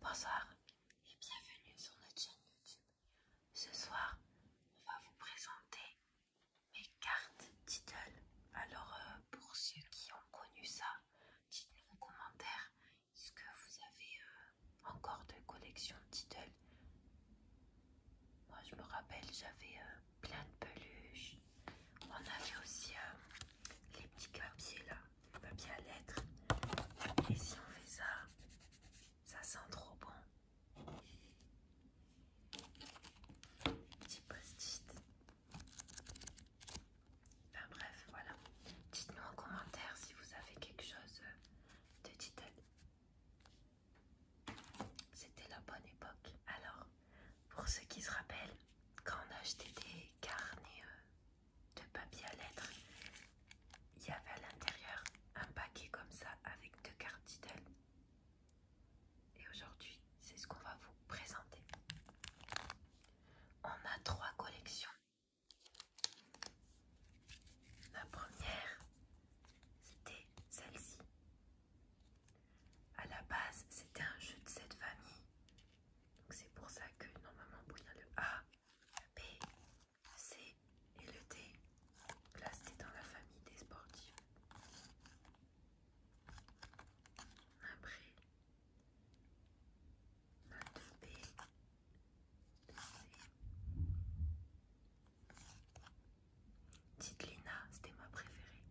Bonsoir et bienvenue sur notre chaîne YouTube. Ce soir, on va vous présenter mes cartes Tiddle. Alors, euh, pour ceux qui ont connu ça, dites-nous en commentaire ce que vous avez euh, encore de collection Tiddle. Moi, je me rappelle, j'avais euh, plein de peluches. On avait aussi les petits papiers là du papier à lettres. Et si on fait ça, ça sent trop bon. Petit post-it. Enfin bref, voilà. Dites-nous en commentaire si vous avez quelque chose de digital. C'était la bonne époque. Alors, pour ceux qui se rappellent, quand on achetait des carnets euh, de papier à lettres, il y avait à l'intérieur un paquet comme ça avec deux cartes Tidal. Et aujourd'hui, c'est ce qu'on va vous présenter. On a trois collections. La première, c'était celle-ci. À la base, c'était un jeu de cette famille. Donc c'est pour ça que normalement, y a le A, le B, le C et le D, là dans la famille des sportifs. Après, B, le C. Tite Lina, c'était ma préférée.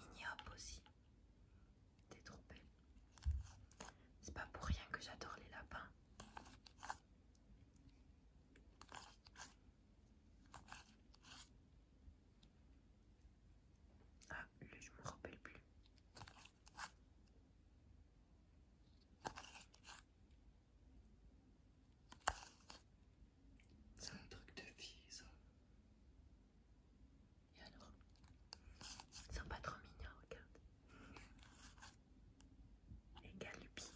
Mini Hop aussi. T'es trop belle. C'est pas pour rien que j'adore les lapins. Ah, je je me rappelle plus. C'est un truc de fille, ça. Et alors Ils sont pas trop mignons, regarde. Les galupis.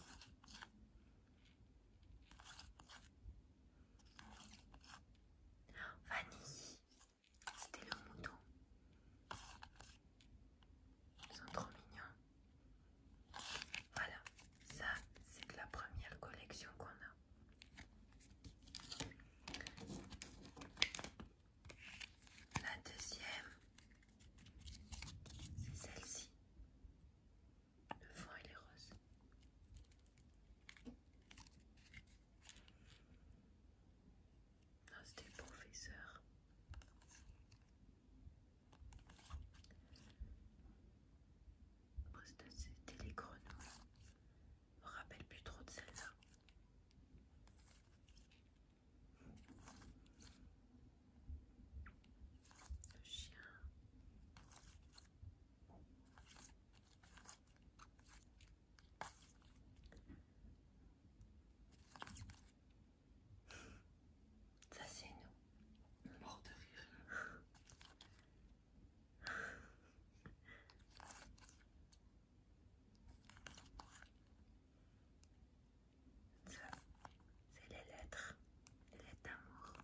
Vanille. C'était le mouton. Ils sont trop mignons. Voilà, ça c'est la première collection qu'on a. La deuxième, c'est celle-ci. Le fond, et est rose c'était le professeur. C'était les grenouilles. Je me rappelle plus trop de celle-là. Le chien. Ça c'est nous. Mort de rire. Ça, c'est les lettres, les lettres d'amour.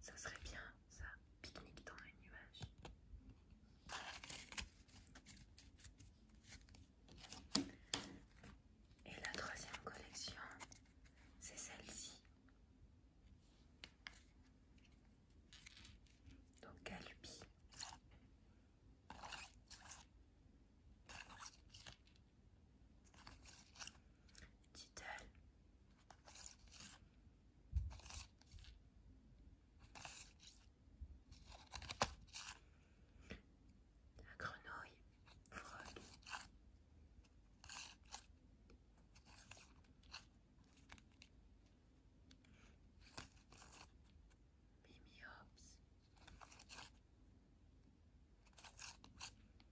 ça serait bien ça, pique-nique dans les nuages. Et la troisième collection, c'est celle-ci. Donc Galupi titelle La grenouille frog. Mimi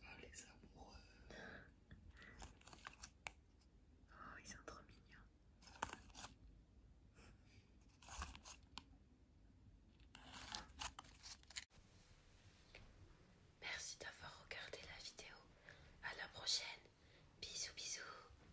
Oh les amoureux Oh ils sont trop mignons Merci d'avoir regardé la vidéo. À la prochaine. Bisous bisous.